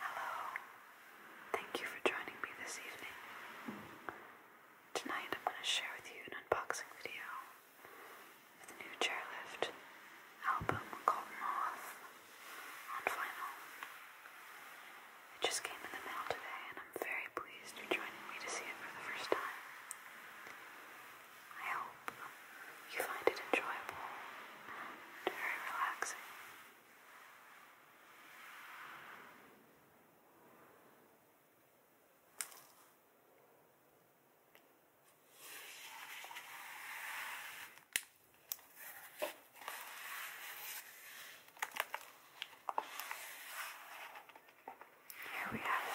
Hello. Thank you for joining me this evening. Tonight I'm going to share with you an unboxing video of the new Chairlift album called Moth on vinyl. It just came in the mail today and I'm very pleased you're joining me to see it for the first time. I hope you find it enjoyable and very relaxing. Here we have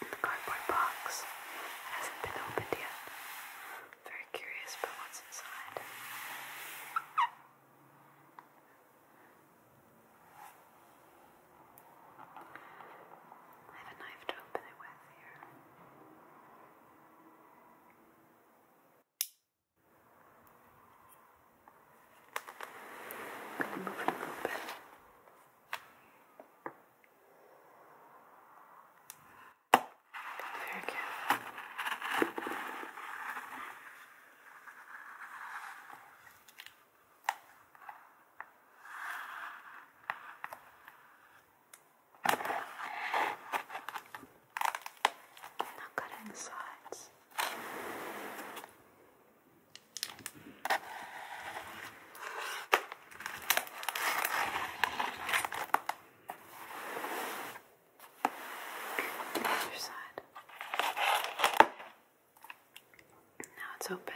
the cardboard box hasn't been opened yet. Very curious about what's inside. I have a knife to open it with here. move it a little bit. Very good. Not cutting the sides. The other side. Now it's open.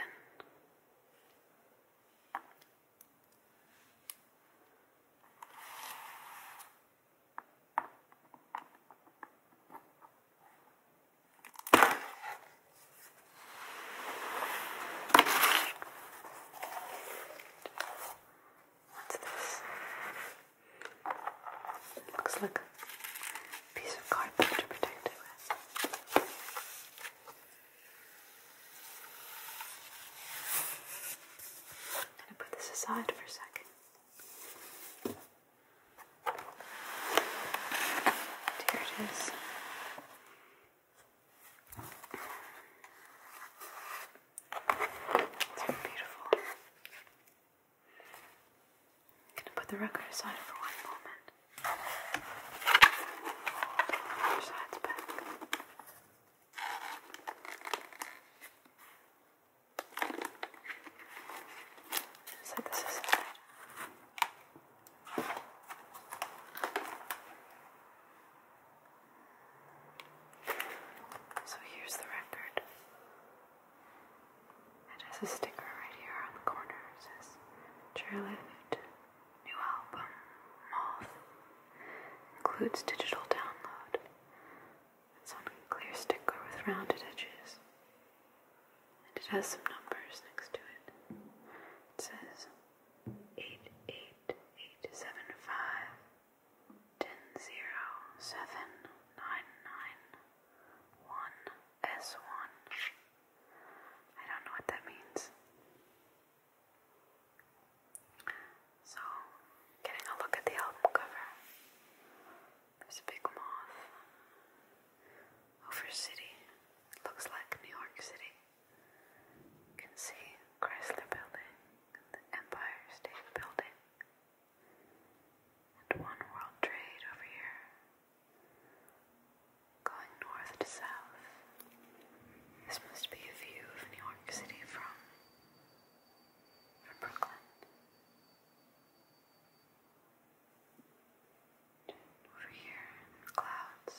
What's this? Looks like a piece of cardboard to protect it with. I'm gonna put this aside for a second. Here it is. It's beautiful. I'm gonna put the record aside for one moment. Other side's back. So this is it. So here's the record. It has a sticker right here on the corner. It says Chairlift, new album, Moth, includes digital download. It's on a clear sticker with rounded edges. And it has some numbers next to it. It says eight eight eight seven five ten zero seven nine nine one S one. I don't know what that means. So, getting a look at the album cover. There's a big moth over city. Looks like New York City. You can see Chrysler Building the Empire State Building and One World Trade over here. Going north to south. This must be a view of New York City from from Brooklyn. Over here in the clouds,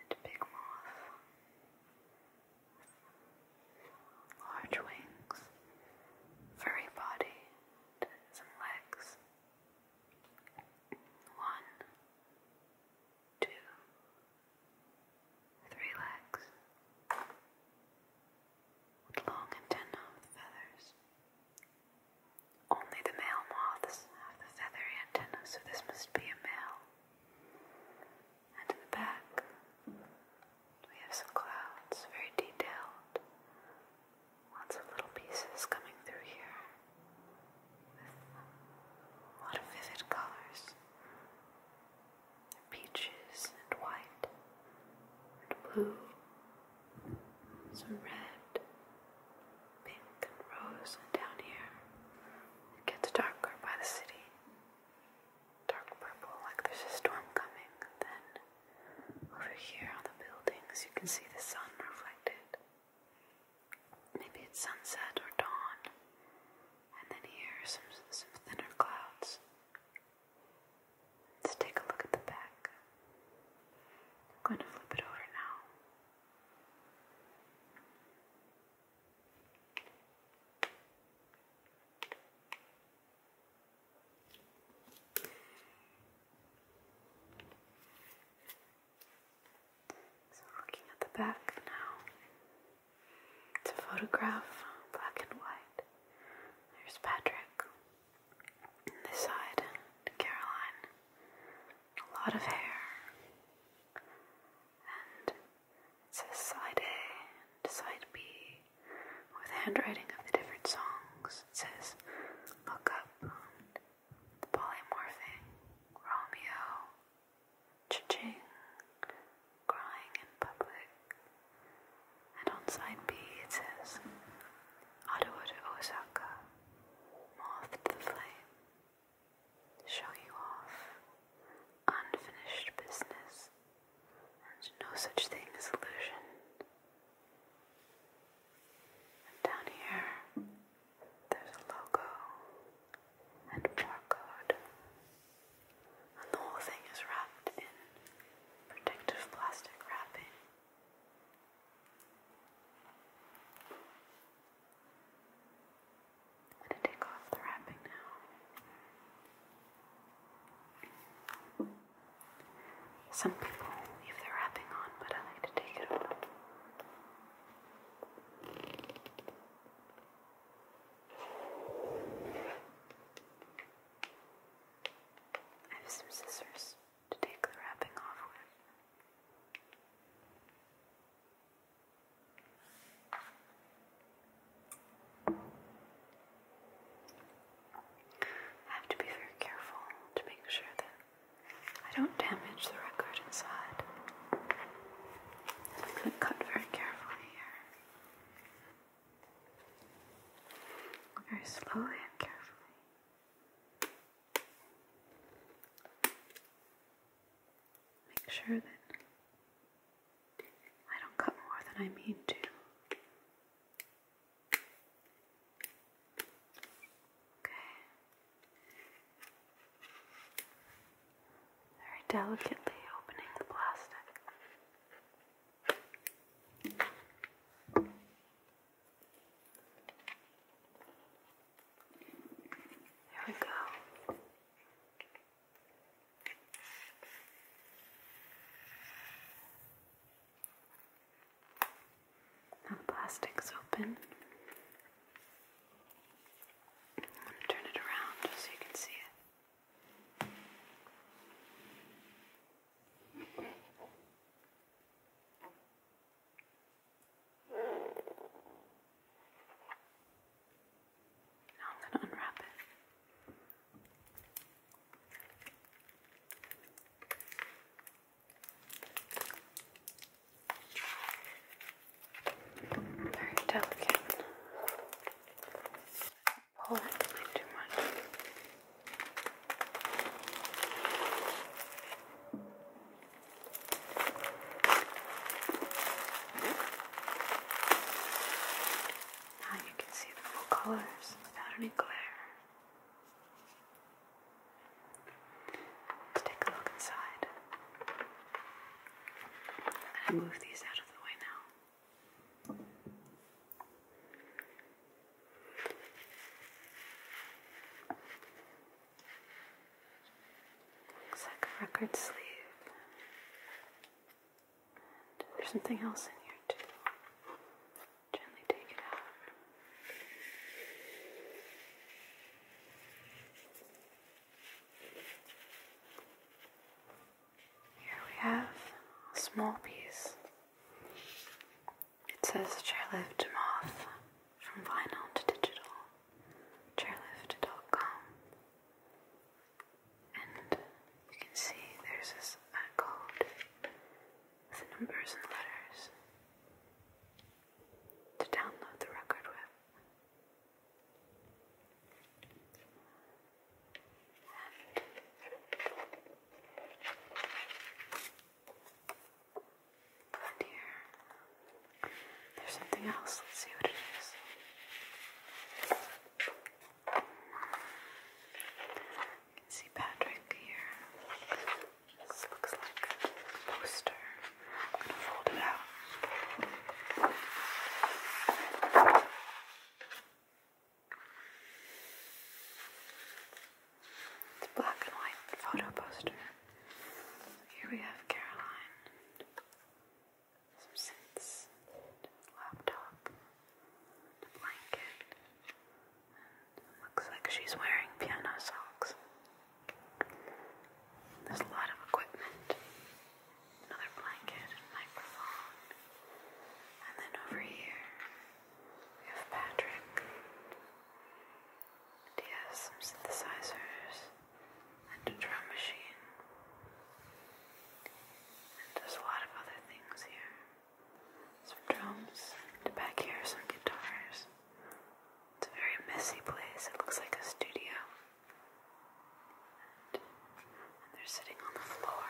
and big mouth, large wings, furry body, and some legs. One, two, three legs with long antennae with feathers. Only the male moths have the feathery antenna, so this must be a male. And in the back, we have some clouds, very detailed. Lots of little pieces coming through here with a lot of vivid colors. Peaches and white and blue, some red, pink and rose, and down here it gets darker by the city. Dark purple, like there's a storm coming. then over here on the buildings, you can see the sun reflected. Maybe it's sunset or dawn. And then here some, some thinner clouds. Let's take a look at the back. I'm going to flip it over now. So, looking at the back now, it's a photograph, black and white. There's Patrick. On this side, Caroline. A lot of hair. And it says side A and side B with handwriting of the different songs. It says Look Up, Polymorphing, Romeo, ching Crying in Public. And on side B it says Ottawa to Osaka, Moth the Flame show you off unfinished business and no such thing as illusion. down here, there's a logo and barcode, and the whole thing is wrapped in protective plastic wrapping. I'm going to take off the wrapping now. Some people leave their wrapping on, but I like to take it off. I have some scissors to take the wrapping off with. I have to be very careful to make sure that I don't damage the record inside. I'm to cut very carefully here. Very slowly and carefully make sure that I don't cut more than I mean to. Okay. Very delicately opening the plastic. There we go. Now the plastic's open. I'm going to turn it around just so you can see it. Now I'm going to unwrap it. Very delicate. Pull it too much. Now you can see the full colors without any glare. Let's take a look inside. I'm move these out of the way now. Looks like a record sleeve. there's something else in here too. Gently take it out. Here we have a small piece. It says chairlift moth from vinyl to digital chairlift.com and you can see there's this uh, code with the numbers and letters to download the record with here. There's something else. Let's see what it is. You can see Patrick here. This looks like a poster. I'm going to fold it out. It's black and white photo poster. here we have Caroline some scents, laptop, blanket, looks like she's wearing piano socks. There's a lot of equipment. Another blanket microphone. And then over here we have Patrick. he has some synthesizers and a drum machine. And there's a lot of other things here. Some drums, and back here some guitars. It's a very messy place. It looks like a studio. and they're sitting on the floor.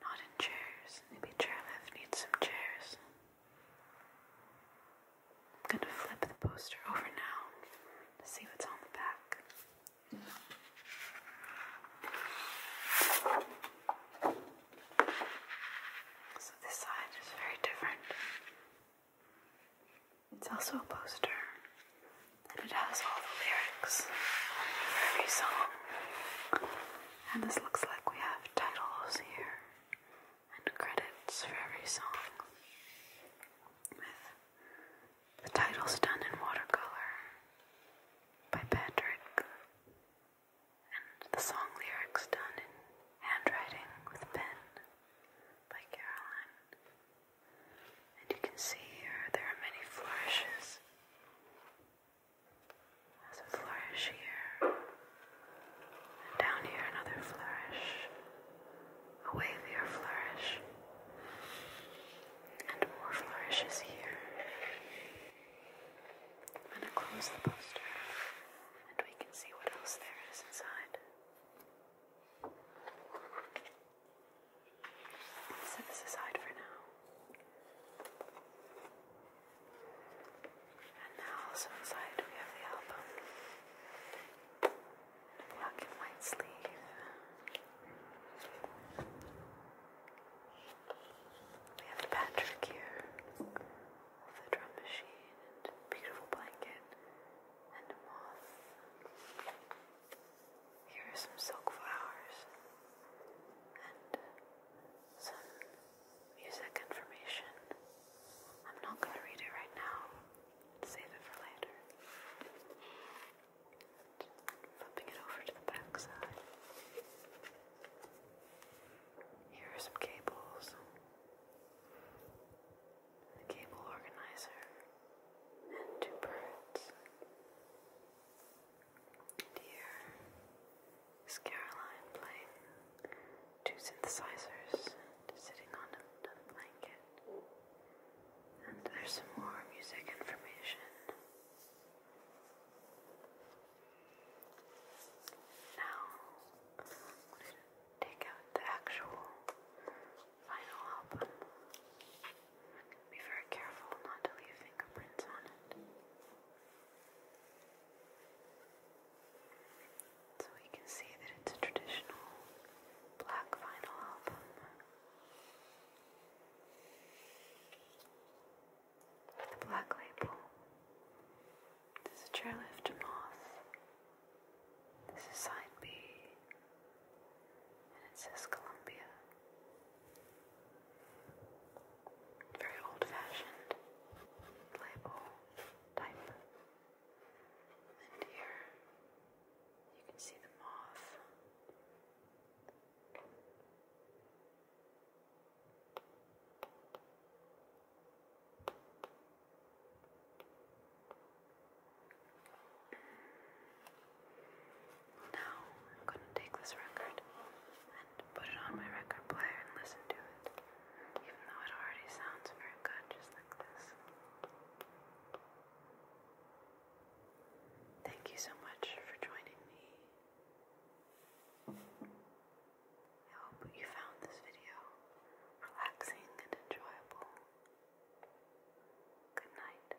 Not in chairs. Maybe Chairlift needs some chairs. I'm going to flip the poster over now to see what's on the back. So, this side is very different. It's also a poster, and it has all the lyrics for every song. And this looks like we have titles here and credits for every song, with the titles done in watercolor by Patrick, and the song lyrics done in handwriting with pen by Caroline. And you can see here there are many flourishes. There's a flourish here. And down here, another flourish, a wavier flourish, and more flourishes here. I'm going to close the poster and we can see what else there is inside. Set this aside for now. And now also inside we have the album. In a black and white sleeve. We have Patrick here with the drum machine and beautiful blanket and a moth. Here are some silk flowers and some music information. I'm not going to read it right now. Save it for later. Flipping it over to the back Here are some cables. The cable organizer and two birds. And Caroline playing two synthesizers sitting on another blanket. And there's some more music information. Now, take out the actual final album. Be very careful not to leave fingerprints on it. So we can see that it's a traditional black vinyl album. The black label. This is Chairlift Moth. This is side B. And it says Columbia. Very old fashioned label type. And here you can see the moth. Now I'm going to take this record and put it on my record player and listen to it even though it already sounds very good just like this. Thank you so much for joining me. I hope you found this video relaxing and enjoyable. Good night.